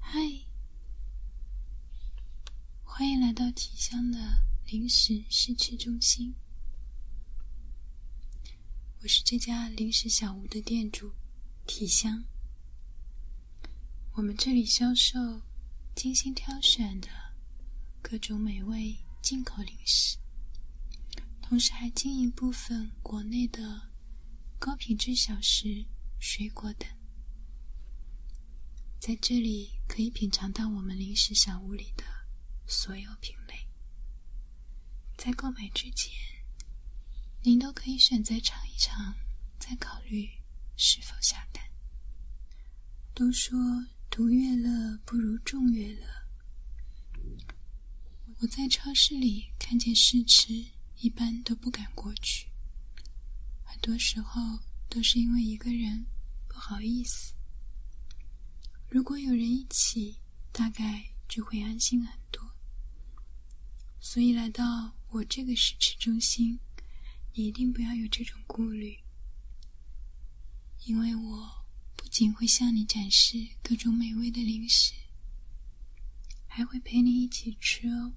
嗨，欢迎来到体香的零食试吃中心。我是这家零食小屋的店主，体香。我们这里销售精心挑选的各种美味进口零食，同时还经营部分国内的。高品质小食、水果等，在这里可以品尝到我们零食小屋里的所有品类。在购买之前，您都可以选择尝一尝，再考虑是否下单。都说独乐乐不如众乐乐。我在超市里看见试吃，一般都不敢过去。很多时候都是因为一个人不好意思。如果有人一起，大概就会安心很多。所以来到我这个试吃中心，你一定不要有这种顾虑，因为我不仅会向你展示各种美味的零食。还会陪你一起吃哦。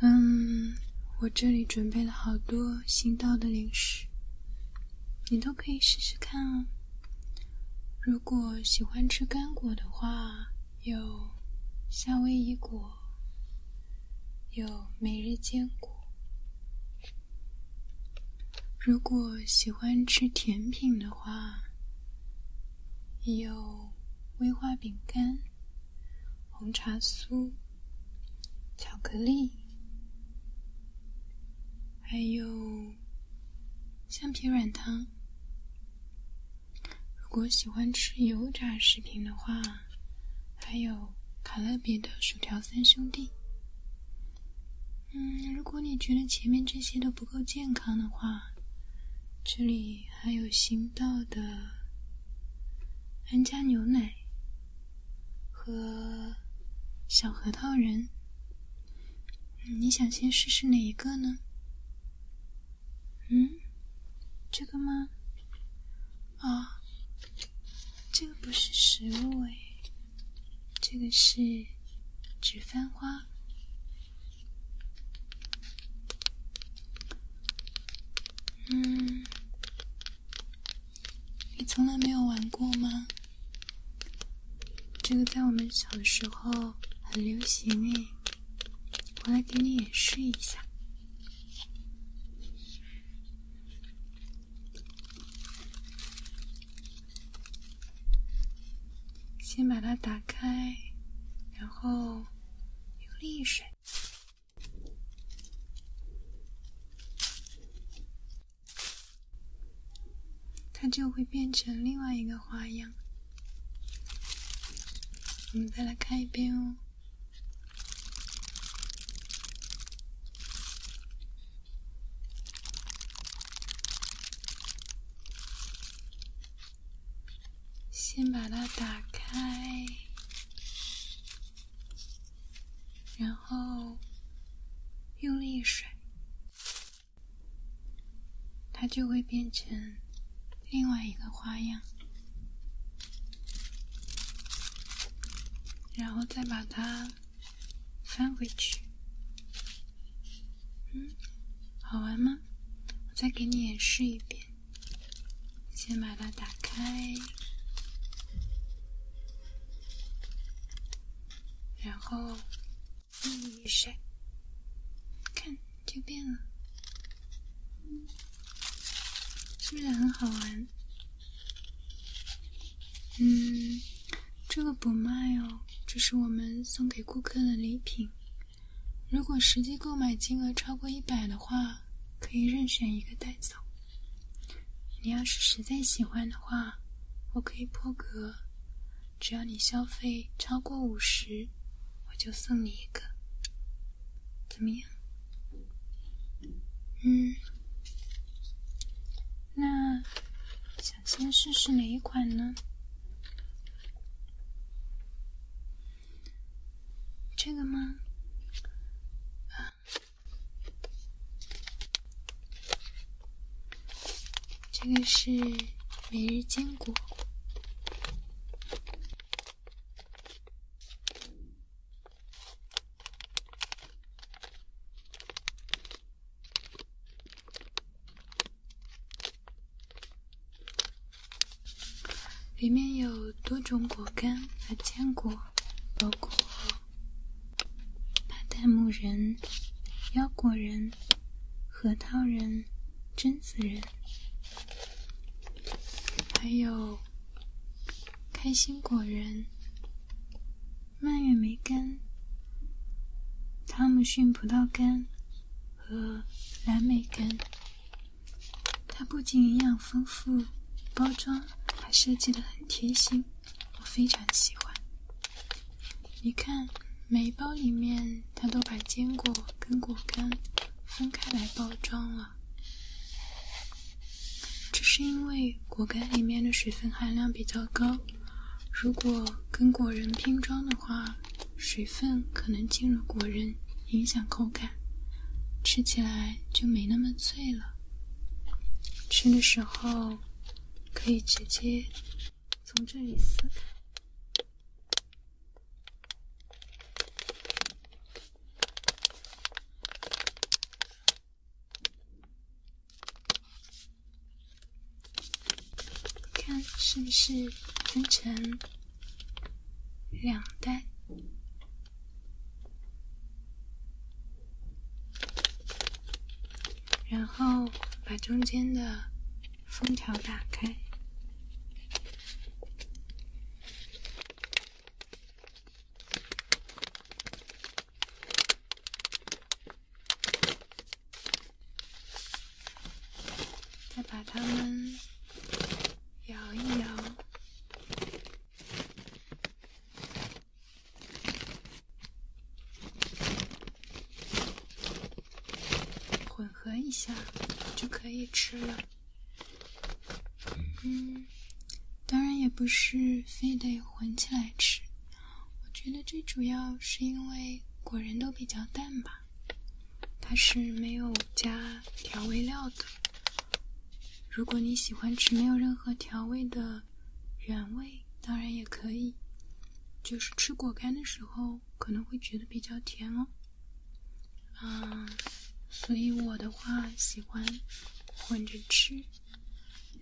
嗯，我这里准备了好多新到的零食，你都可以试试看哦。如果喜欢吃干果的话，有夏威夷果，有每日坚果。如果喜欢吃甜品的。花，有威化饼干、红茶酥、巧克力，还有橡皮软糖。如果喜欢吃油炸食品的话，还有卡乐比的薯条三兄弟。嗯，如果你觉得前面这些都不够健康的话，这里还有行道的安佳牛奶和小核桃仁。你想先试试哪一个呢？嗯，这个吗？啊，这个不是食物哎。这个是纸翻花，嗯，你从来没有玩过吗？这个在我们小的时候很流行诶，我来给你演示一下。先把它打开，然后用水，它就会变成另外一个花样。我们再来看一遍哦。先把它打开，然后用力甩，它就会变成另外一个花样，然后再把它。翻回去，嗯，好玩吗？我再给你演示一遍，先把它打开，然后一甩，看就变了，是不是很好玩？嗯，这个不卖哦，这是我们送给顾客的礼品。如果实际购买金额超过一百的话，可以任选一个带走。你要是实在喜欢的话，我可以破格，只要你消费超过五十，我就送你一个。怎么样？嗯，那。先试试哪一款呢？这个吗？这个是每日坚果。里面有多种果干和坚果，包括巴旦木仁、腰果仁、核桃仁、榛子仁，还有开心果仁。蔓越莓干、汤姆逊葡萄干和蓝莓干，它不仅营养丰富，包装还设计的很贴心，我非常喜欢。你看，每一包里面它都把坚果跟果干分开来包装了，这是因为果干里面的水分含量比较高。如果跟果仁拼装的话，水分可能进入果仁，影响口感，吃起来就没那么脆了。吃的时候可以直接从这里撕开。看，是不是分成两袋？然后把中间的封条打开。再把它们摇一摇，混合一下，就可以吃了。嗯，当然也不是非得混起来吃。我觉得最主要是因为果仁都比较淡吧，它是没有加调味料的。如果你喜欢吃没有任何调味的原味，当然也可以。就是吃果干的时候可能会觉得比较甜哦。嗯，所以我的话喜欢混着吃。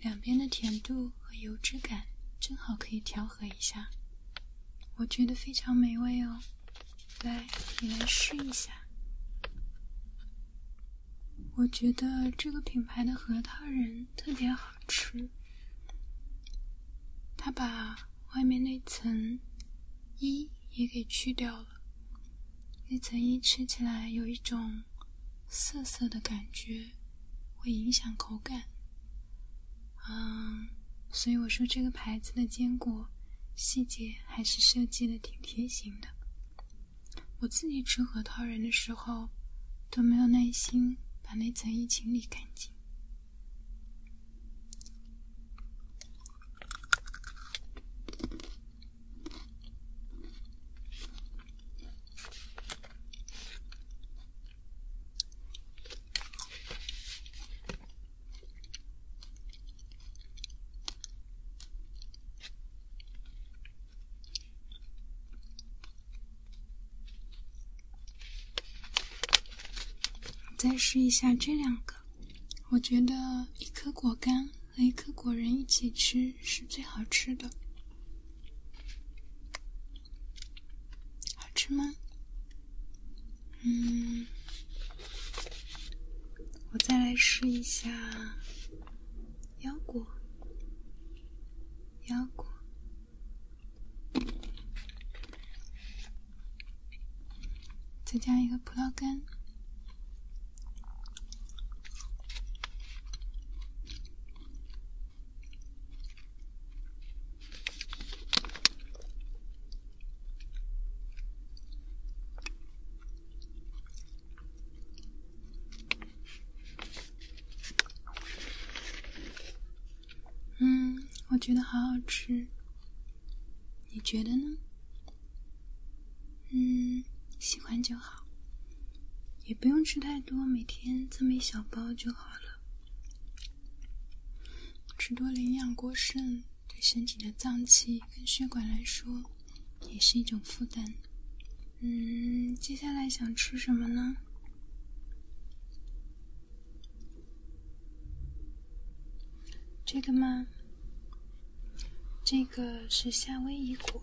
两边的甜度和油脂感正好可以调和一下，我觉得非常美味哦。来，你来试一下。我觉得这个品牌的核桃仁特别好吃，它把外面那层衣也给去掉了。那层衣吃起来有一种涩涩的感觉。会影响口感，嗯，所以我说这个牌子的坚果细节还是设计的挺贴心的。我自己吃核桃仁的时候，都没有耐心把那层衣清理干净。再试一下这两个，我觉得一颗果干和一颗果仁一起吃是最好吃的。好吃吗？嗯，我再来试一下腰果，腰果，再加一个葡萄干。嗯，我觉得好好吃。你觉得呢？嗯，喜欢就好。也不用吃太多，每天这么一小包就好了。吃多了营养过剩，对身体的脏器跟血管来说也是一种负担。嗯，接下来想吃什么呢？这个吗？这个是夏威夷果。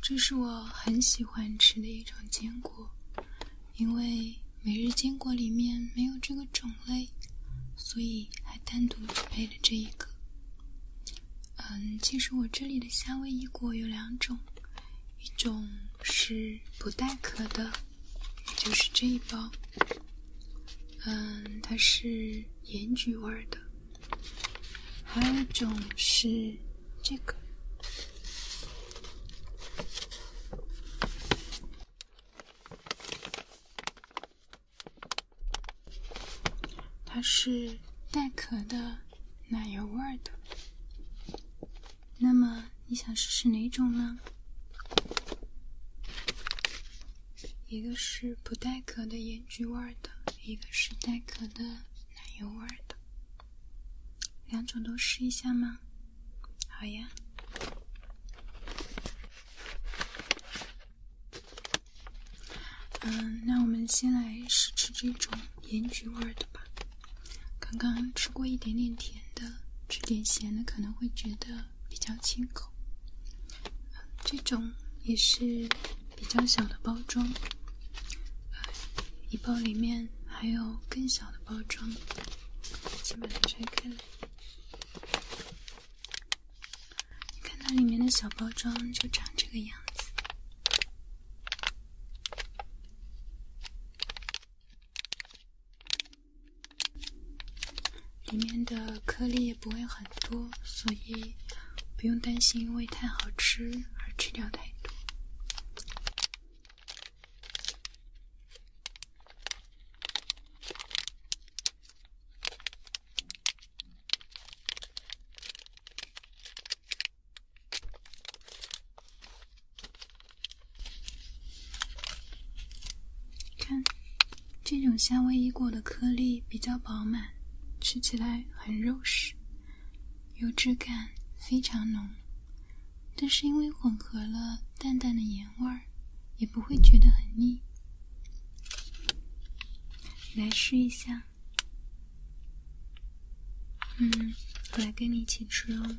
这是我很喜欢吃的一种坚果，因为每日坚果里面没有这个种类，所以还单独准备了这一个。嗯，其实我这里的夏威夷果有两种，一种是不带壳的，也就是这一包。嗯，它是盐焗味的。还有一种是这个，它是带壳的奶油味的。那么你想试试哪种呢？一个是不带壳的盐焗味的。一个是带壳的奶油味的，两种都试一下吗？好呀。嗯，那我们先来试吃这种盐焗味的吧。刚刚吃过一点点甜的，吃点咸的可能会觉得比较清口。这种也是。比较小的包装，一包里面还有更小的包装，先把它拆开。你看它里面的小包装就长这个样子，里面的颗粒。不会很多，所以不用担心，因为太好吃而吃掉太多。看。这种夏威夷果的颗粒比较饱满，吃起来很肉实，油脂感非常浓，但是因为混合了淡淡的盐味儿，也不会觉得很腻。来试一下，嗯，我来跟你一起吃哦。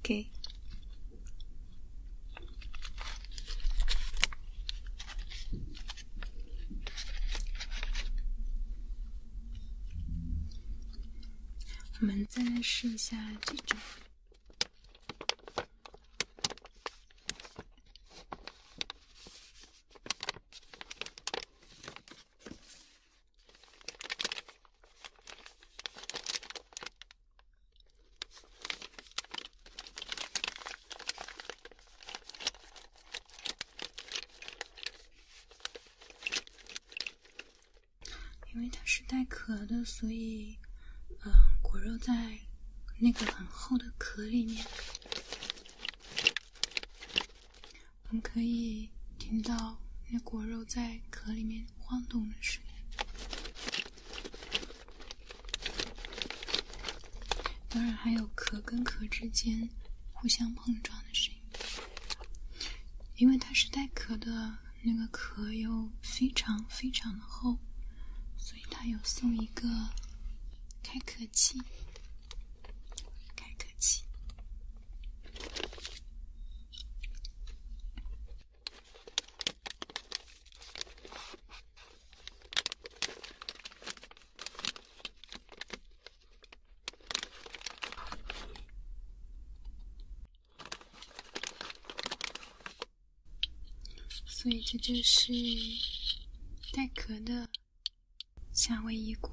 OK，我们再来试一下这种。因为它是带壳的，所以，嗯，果肉在那个很厚的壳里面。我们可以听到那果肉在壳里面晃动的声音，当然还有壳跟壳之间互相碰撞的声音。因为它是带壳的，那个壳又非常非常的厚，所以它有送一个开壳器。所以这就是带壳的夏威夷果。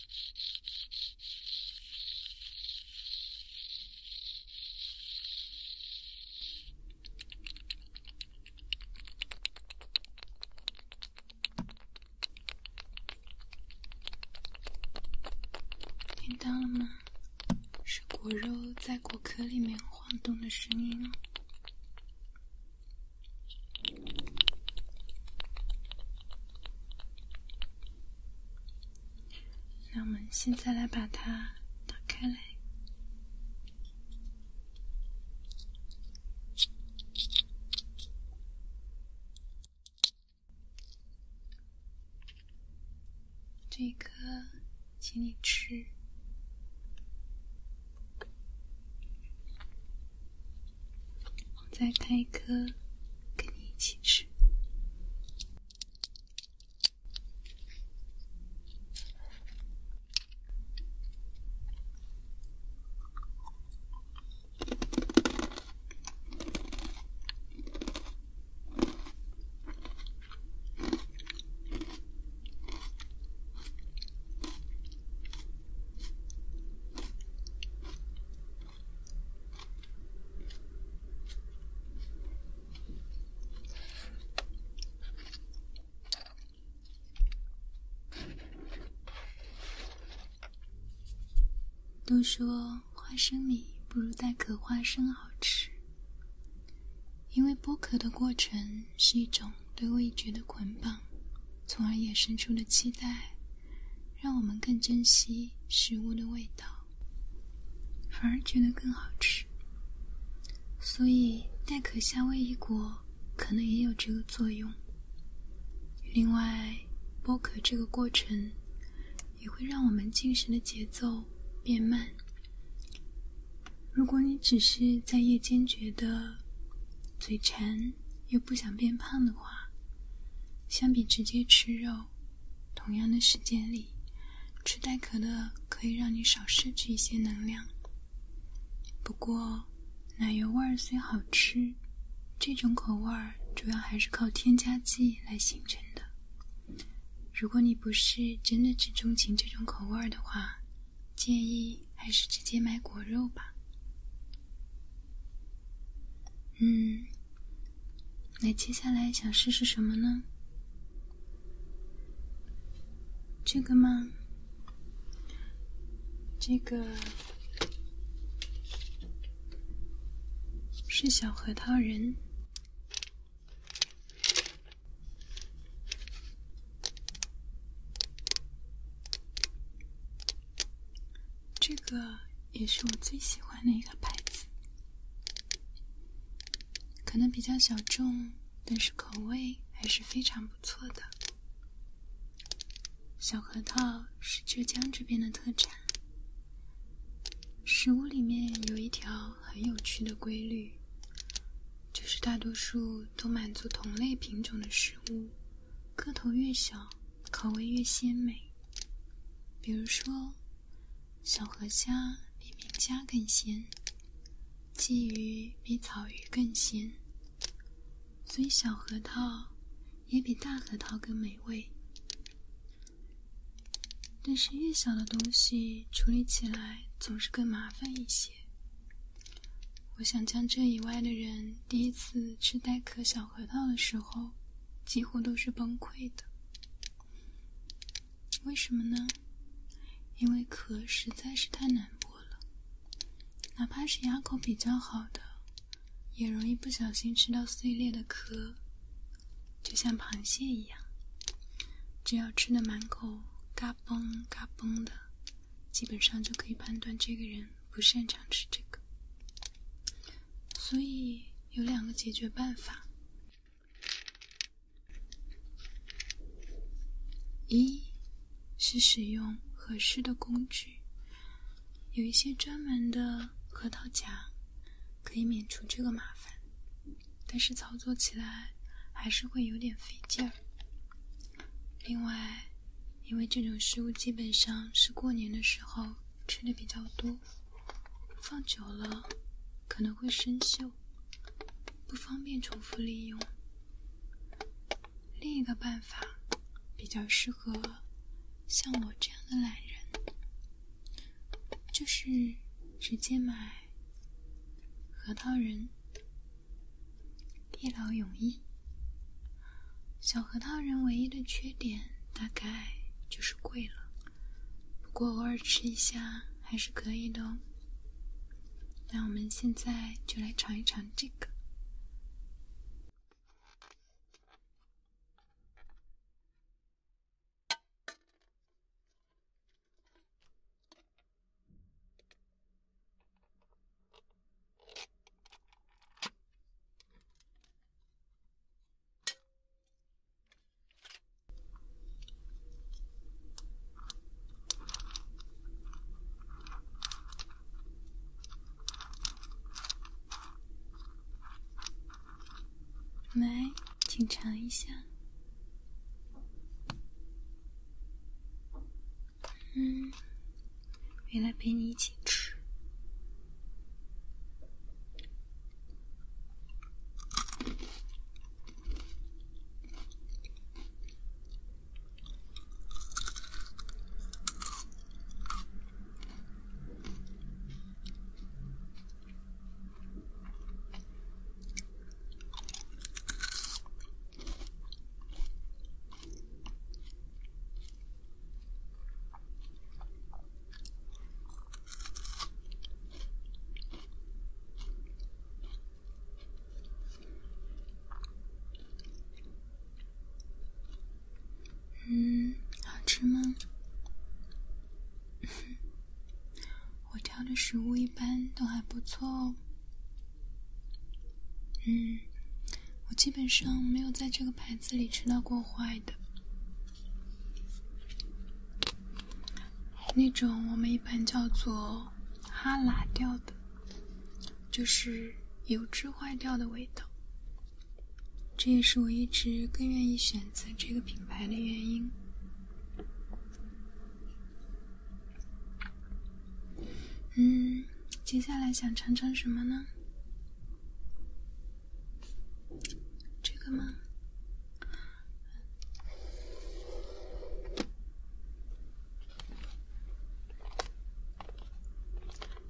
听到了吗？是果肉在果壳里面晃动的声音。那我们现在来把它打开来，这一颗，请你吃。我再开一颗，跟你一起吃。都说花生米不如带壳花生好吃，因为剥壳的过程是一种。对味觉的捆绑，从而衍生出了期待，让我们更珍惜食物的味道，反而觉得更好吃。所以，带壳夏威夷果可能也有这个作用。另外，剥壳这个过程也会让我们进食的节奏变慢。如果你只是在夜间觉得嘴馋，又不想变胖的话，相比直接吃肉，同样的时间里，吃带可乐可以让你少摄取一些能量。不过，奶油味儿虽好吃，这种口味儿主要还是靠添加剂来形成的。如果你不是真的只钟情这种口味儿的话，建议还是直接买果肉吧。嗯，那接下来想试试什么呢？这个吗？这个是小核桃人。这个也是我最喜欢的一个牌子，可能比较小众，但是口味还是非常不错的。小核桃是浙江这边的特产。食物里面有一条很有趣的规律，就是大多数都满足同类品种的食物。个头越小，口味越鲜美。比如说，小河虾比明虾更鲜，鲫鱼比草鱼更鲜。所以小核桃也比大核桃更美味。但是越小的东西处理起来总是更麻烦一些。我想将这以外的人第一次吃带壳小核桃的时候，几乎都是崩溃的。为什么呢？因为壳实在是太难剥了，哪怕是牙口比较好的，也容易不小心吃到碎裂的壳，就像螃蟹一样。只要吃的满口嘎嘣嘎嘣的，基本上就可以判断这个人。不擅长吃这个，所以有两个解决办法：一是使用合适的工具，有一些专门的核桃夹，可以免除这个麻烦，但是操作起来还是会有点费劲儿。另外，因为这种食物基本上是过年的时候吃的比较多，放久了可能会生锈，不方便重复利用。另一个办法比较适合像我这样的懒人，就是直接买核桃仁。一劳永逸。小核桃人唯一的缺点，大概就是贵了。不过偶尔吃一下还是可以的哦。那我们现在就来尝一尝这个。来，请尝一下。嗯，回来陪你一起吃。嗯，好吃吗？我挑的食物一般都还不错哦。嗯，我基本上没有在这个牌子里吃到过坏的，那种我们一般叫做哈喇掉的，就是油脂坏掉的味道。这也是我一直更愿意选择这个品牌的原因。嗯，接下来想尝尝什么呢？这个吗？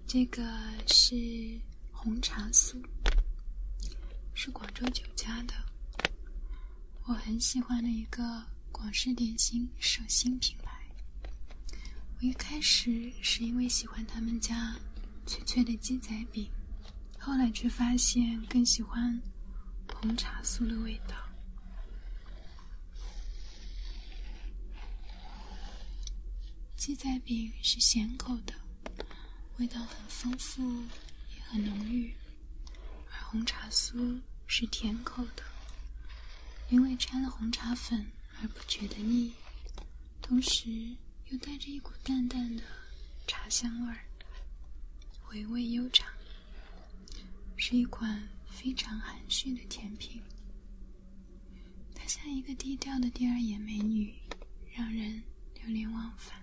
这个是红茶酥，是广州酒家的，我很喜欢的一个。广式点心，手新品牌。我一开始是因为喜欢他们家脆脆的鸡仔饼，后来却发现更喜欢红茶酥的味道。鸡仔饼是咸口的，味道很丰富，也很浓郁；而红茶酥是甜口的。因为掺了红茶粉而不觉得腻，同时又带着一股淡淡的茶香味儿，回味悠长。是一款非常含蓄的甜品，它像一个低调的第二眼美女，让人流连忘返。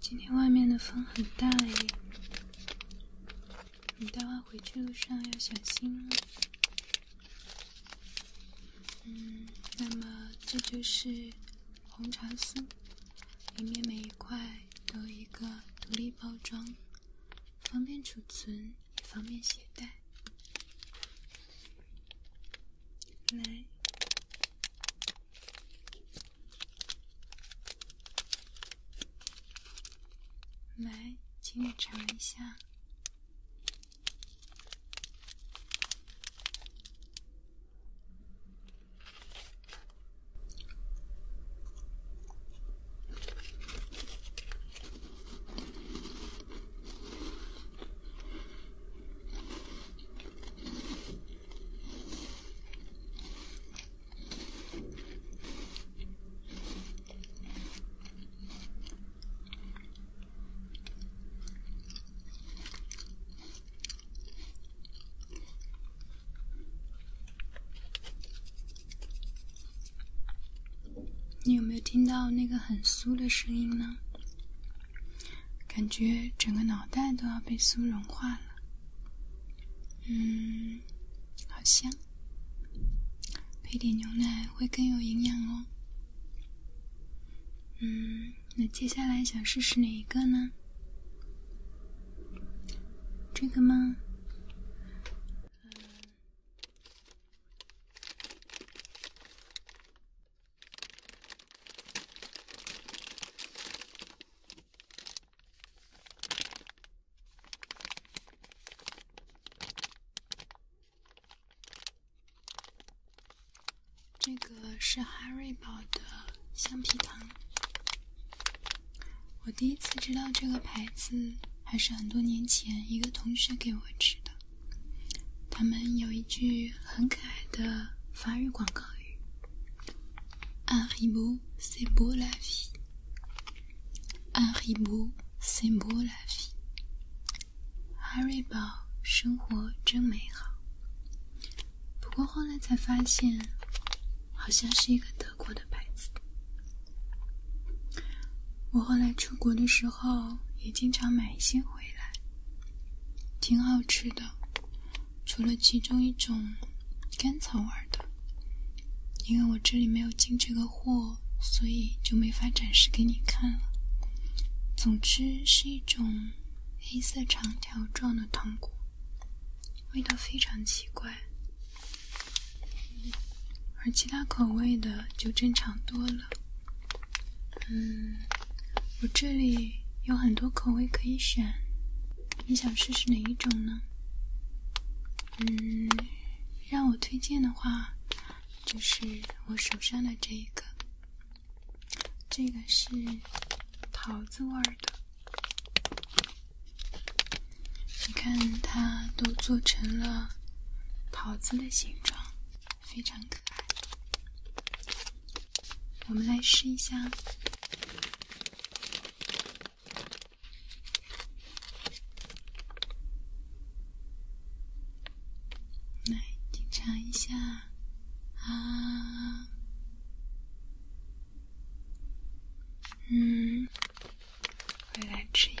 今天外面的风很大耶，你待会回去路上要小心。嗯，那么这就是红茶酥，里面每一块都有一个独立包装，方便储存也方便携带。来。来，请你尝一下。你有没有听到那个很酥的声音呢？感觉整个脑袋都要被酥融化了，嗯，好香，配点牛奶会更有营养哦。嗯，那接下来想试试哪一个呢？这个吗？这个是哈瑞宝的橡皮糖。我第一次知道这个牌子，还是很多年前一个同学给我吃的。他们有一句。很可爱的法语广告语 u n r i b o c'est beau la vie，Haribo c'est beau la v i e h a r 生活真美好。”不过后来才发现，好像是一个德国的牌子。我后来出国的时候也经常买一些回来，挺好吃的。除了其中一种甘草味的，因为我这里没有进这个货，所以就没法展示给你看了。总之是一种黑色长条状的糖果，味道非常奇怪，而其他口味的就正常多了。嗯，我这里有很多口味可以选，你想试试哪一种呢？嗯，让我推荐的话，就是我手上的这一个，这个是桃子味儿的，你看它都做成了桃子的形状。非常可爱，我们来试一下，来品尝一下，啊，嗯，来吃一个。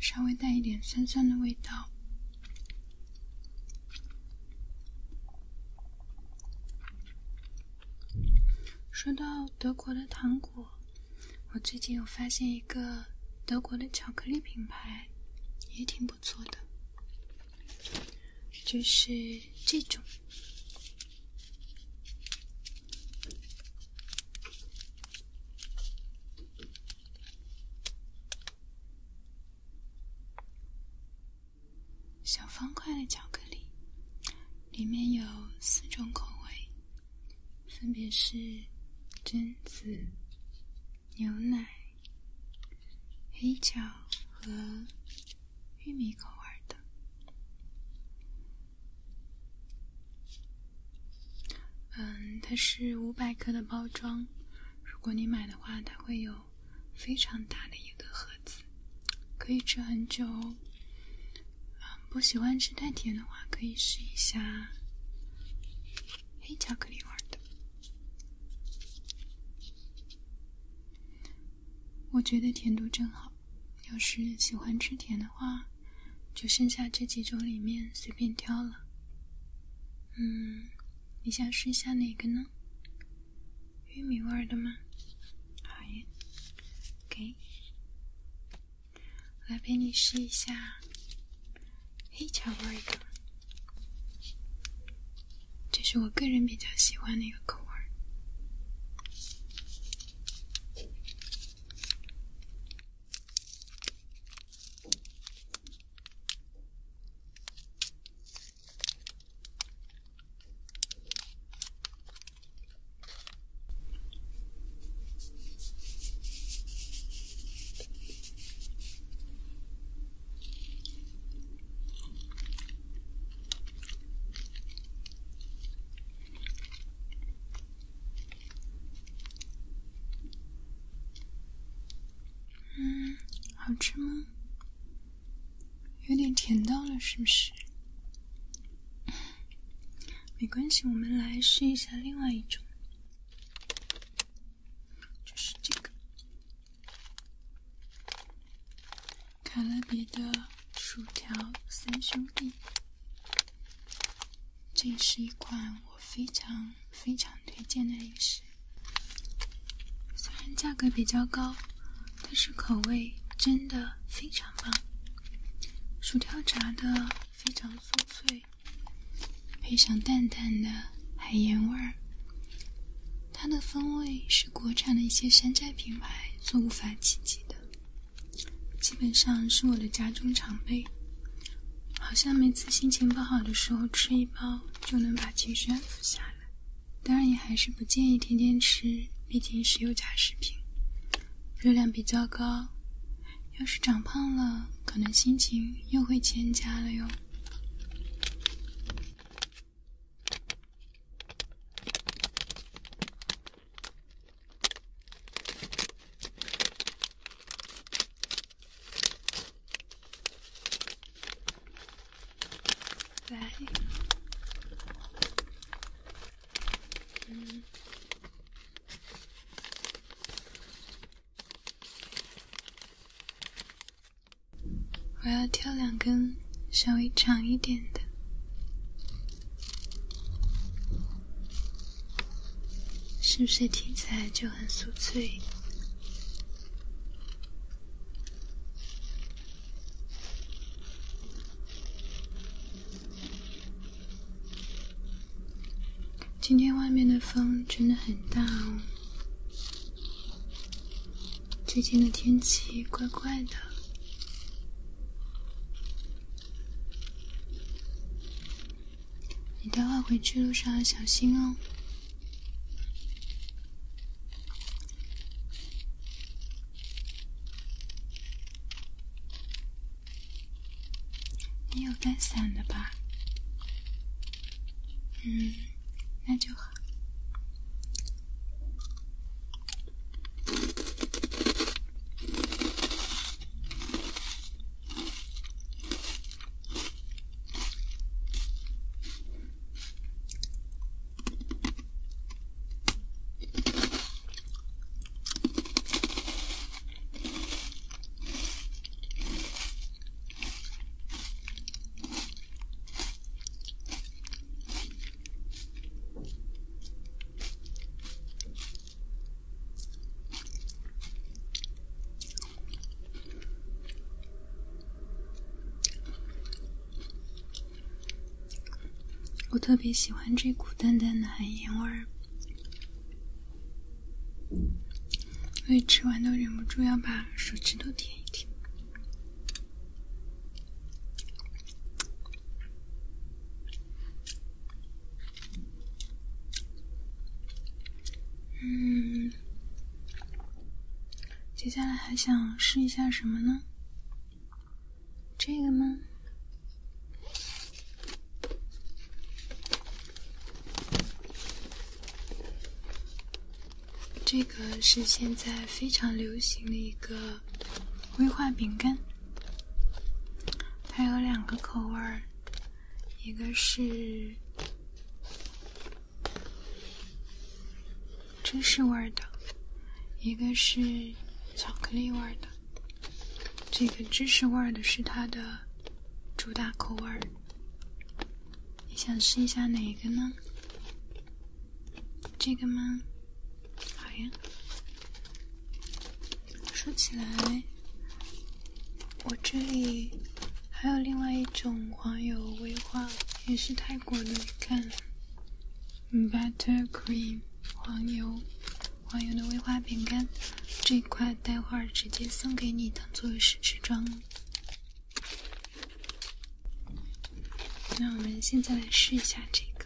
稍微带一点酸酸的味道。说到德国的糖果。我最近有发现一个德国的巧克力品牌，也挺不错的，就是这种小方块的巧克力，里面有四种口味。分别是榛子、牛奶、黑巧和玉米口味的。嗯，它是五百克的包装，如果你买的话，它会有非常大的一个盒子，可以吃很久哦。不喜欢吃太甜的话，可以试一下黑巧克力味的。我觉得甜度正好。要是喜欢吃甜的话，就剩下这几种里面随便挑了。嗯，你想试一下哪个呢？玉米味的吗？好耶，给。来，陪你试一下黑巧克力，这是我个人比较喜欢的一个口味。嗯，好吃吗？有点甜到了，是不是？没关系，我们来试一下另外一种，就是这个卡乐比的薯条三兄弟。这是一款我非常非常推荐的零食，虽然价格比较高，但是口味真的非常棒，薯条炸的非常酥脆。配上淡淡的海盐味儿，它的风味是国产的一些山寨品牌所无法企及的。基本上是我的家中常备，好像每次心情不好的时候吃一包，就能把情绪安抚下来。当然，也还是不建议天天吃，毕竟是油炸食品，热量比较高。要是长胖了，可能心情又会欠佳了哟。我要挑两根稍微长一点的，是不是听起来就很酥脆？今天外面的风真的很大哦，最近的天气怪怪的。你待会回去路上要小心哦。你有带伞的吧？嗯，那就好。我特别喜欢这股淡淡的海盐味儿。所以吃完都忍不住要把手指头舔一舔。嗯，接下来还想试一下什么呢？这个吗？这个是现在非常流行的一个威化饼干，它有两个口味儿，一个是芝士味的，一个是巧克力味的。这个芝士味儿的是它的主打口味儿，你想试一下哪个呢？这个吗？好呀。说起来，我这里还有另外一种黄油威化，也是泰国的，你看，Butter Cream 黄油。万有的威化饼干，这块待会儿直接送给你，当做试吃装。那我们现在来试一下这个。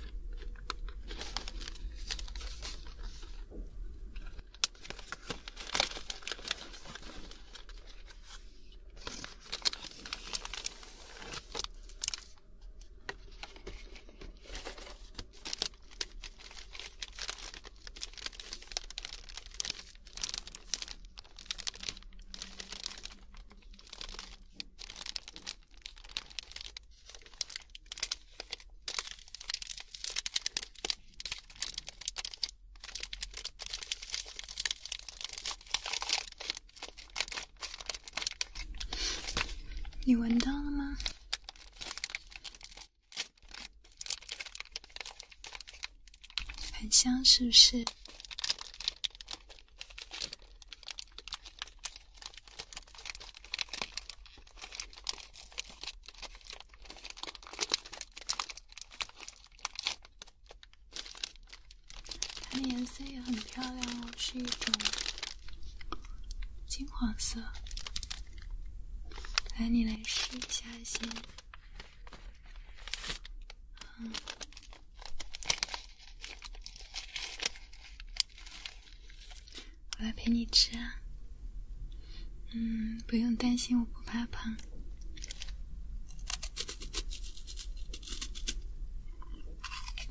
你闻到了吗？很香是不是？它的颜色也很漂亮哦，是一种。金黄色，来，你来试一下先。嗯，我来陪你吃。啊。嗯，不用担心，我不怕胖。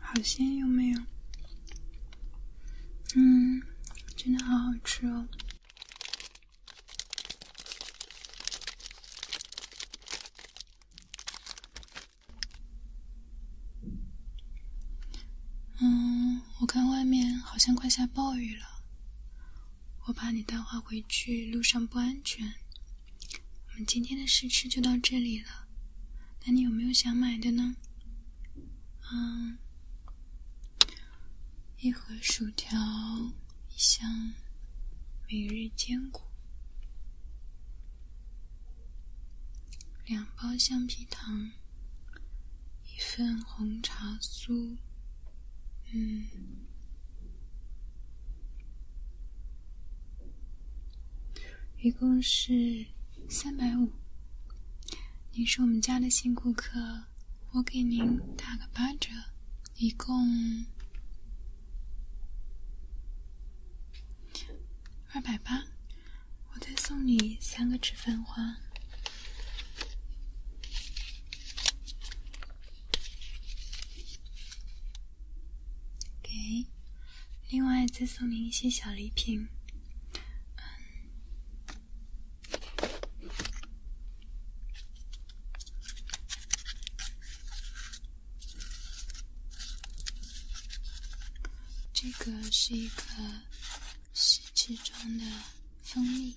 好鲜有没有？嗯，真的好好吃哦。嗯，我看外面好像快下暴雨了，我怕你带花回去路上不安全。我们今天的试吃就到这里了，那你有没有想买的呢？嗯，一盒薯条，一箱每日坚果，两包橡皮糖，一份红茶酥，嗯，一共是。三百五，您是我们家的新顾客，我给您打个八折，一共二百八，我再送你三个纸花，给。另外，再送您一些小礼品。嗯，这个是一个试吃装的蜂蜜。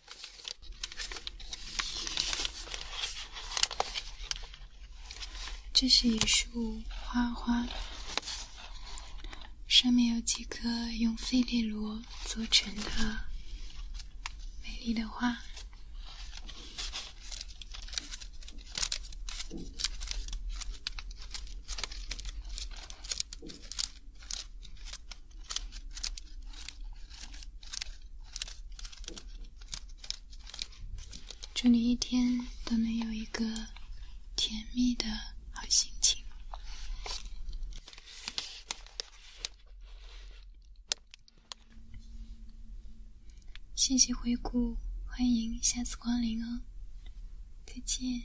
这是一束花花，上面有几颗用费列罗做成的美丽的花。祝你一天都能有一个甜蜜的好心情。谢谢回顾，欢迎下次光临哦，再见。